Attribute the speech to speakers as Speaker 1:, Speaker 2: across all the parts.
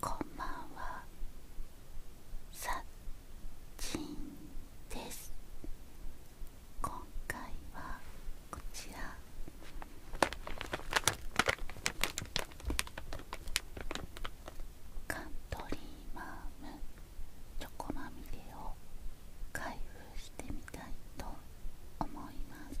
Speaker 1: こんばんはさっちんです今回はこちらカントリーマームチョコまみれを開封してみたいと思います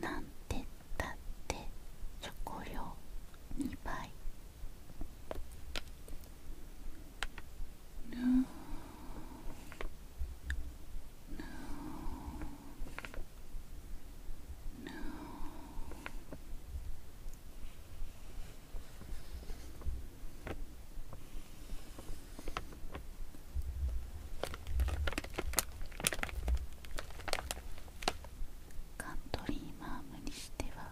Speaker 1: なんてったって食料2倍ぬぬぬカントリーマームにしては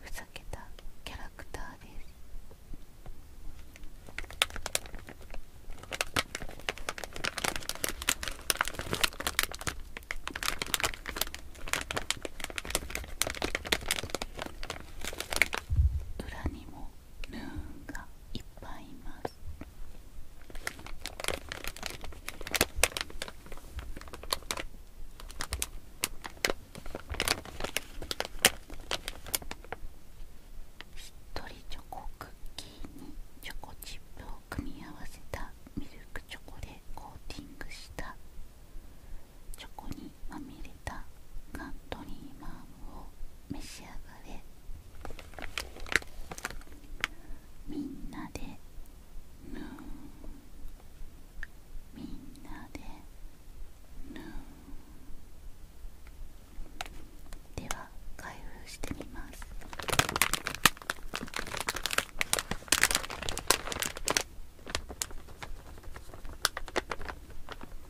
Speaker 1: ふざけたキャラクターです裏にもヌーがいっぱいいますしっとりチョコクッキーにチョコチップを組み合わせたミルクチョコでコーティングしたチョコにまみれカントリーマンを召し上がれみんなでぬーみんなでぬーでは開封してみます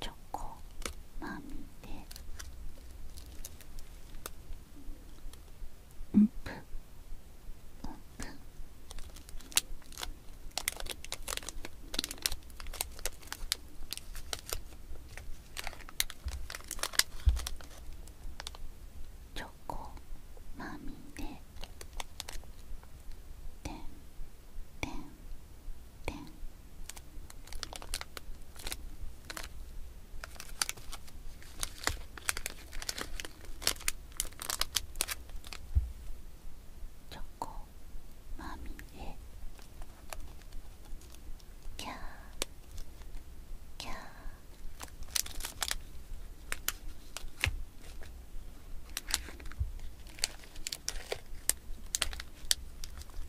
Speaker 1: チョコまみれオープンプンチョコまみれてんてんてんチョコまみれキャキャ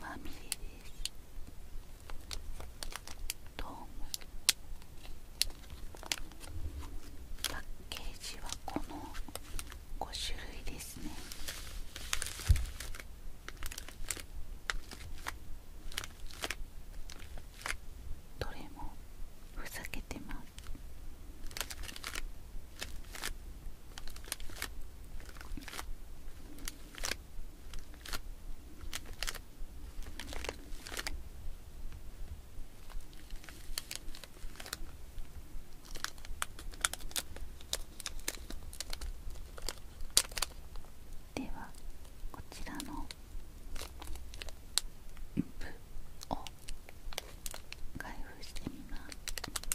Speaker 1: まみれですどうもパッケージはこの5種類ですねどれもふざけてますではこちらの部を開封してみます。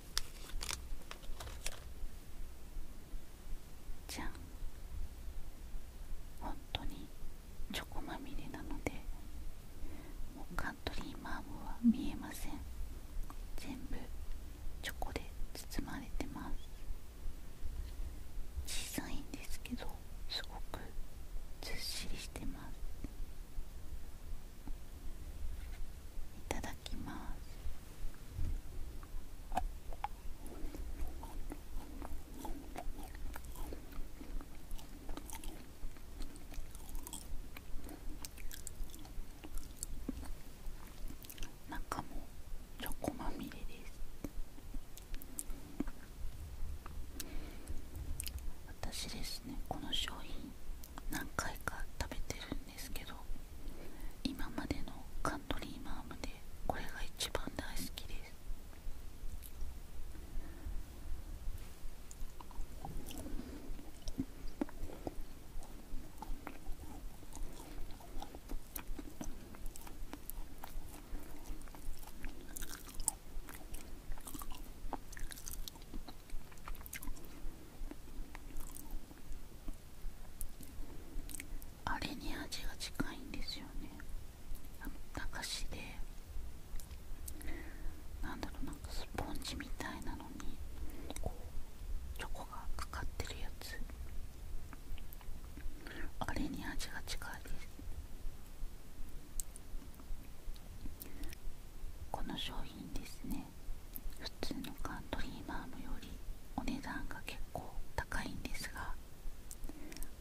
Speaker 1: じゃん本当にチョコまみれなのでカントリーマームは見えません全部チョコで包まれてます小さいんですけどすごくずっしりしてますいただきます中もチョコまみれです私ですねこの商品何回か食べてるんですけど今までのカントリーマームでこれが一番大好きですあれに味が近いんですよねあの駄菓子でなんだろうなんかスポンジみたいなのにチョコがかかってるやつあれに味が近いですこの商品ですね普通のカントリーマームよりお値段が結構高いんですが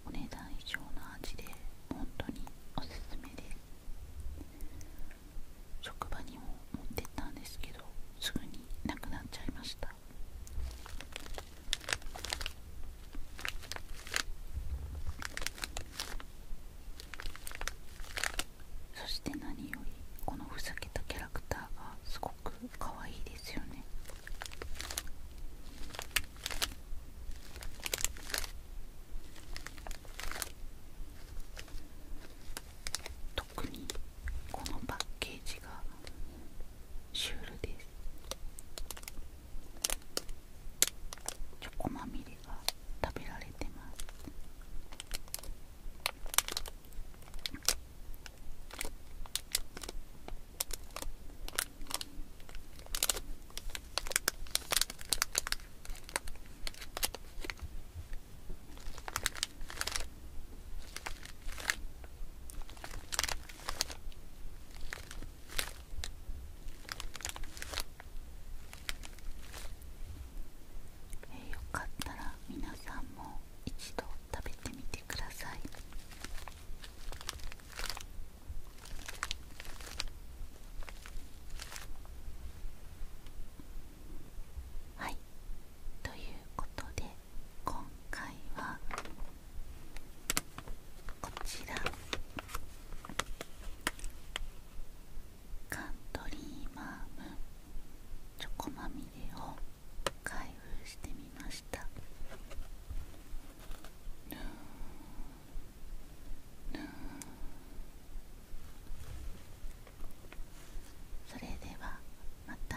Speaker 1: お値段以上の味で本当におすすめで職場にも持ってったんですけどすぐになくなっちゃいましたそして何よりこのふざけたキャラクターがすごく可愛いですよね特にこのパッケージがシュールですチョコまみれが食べられてますえよかったら皆さんも一度食べてみてくださいはいということで今回はこちらカントリーマームチョコまみれを開封してみましたぬぬそれではまた。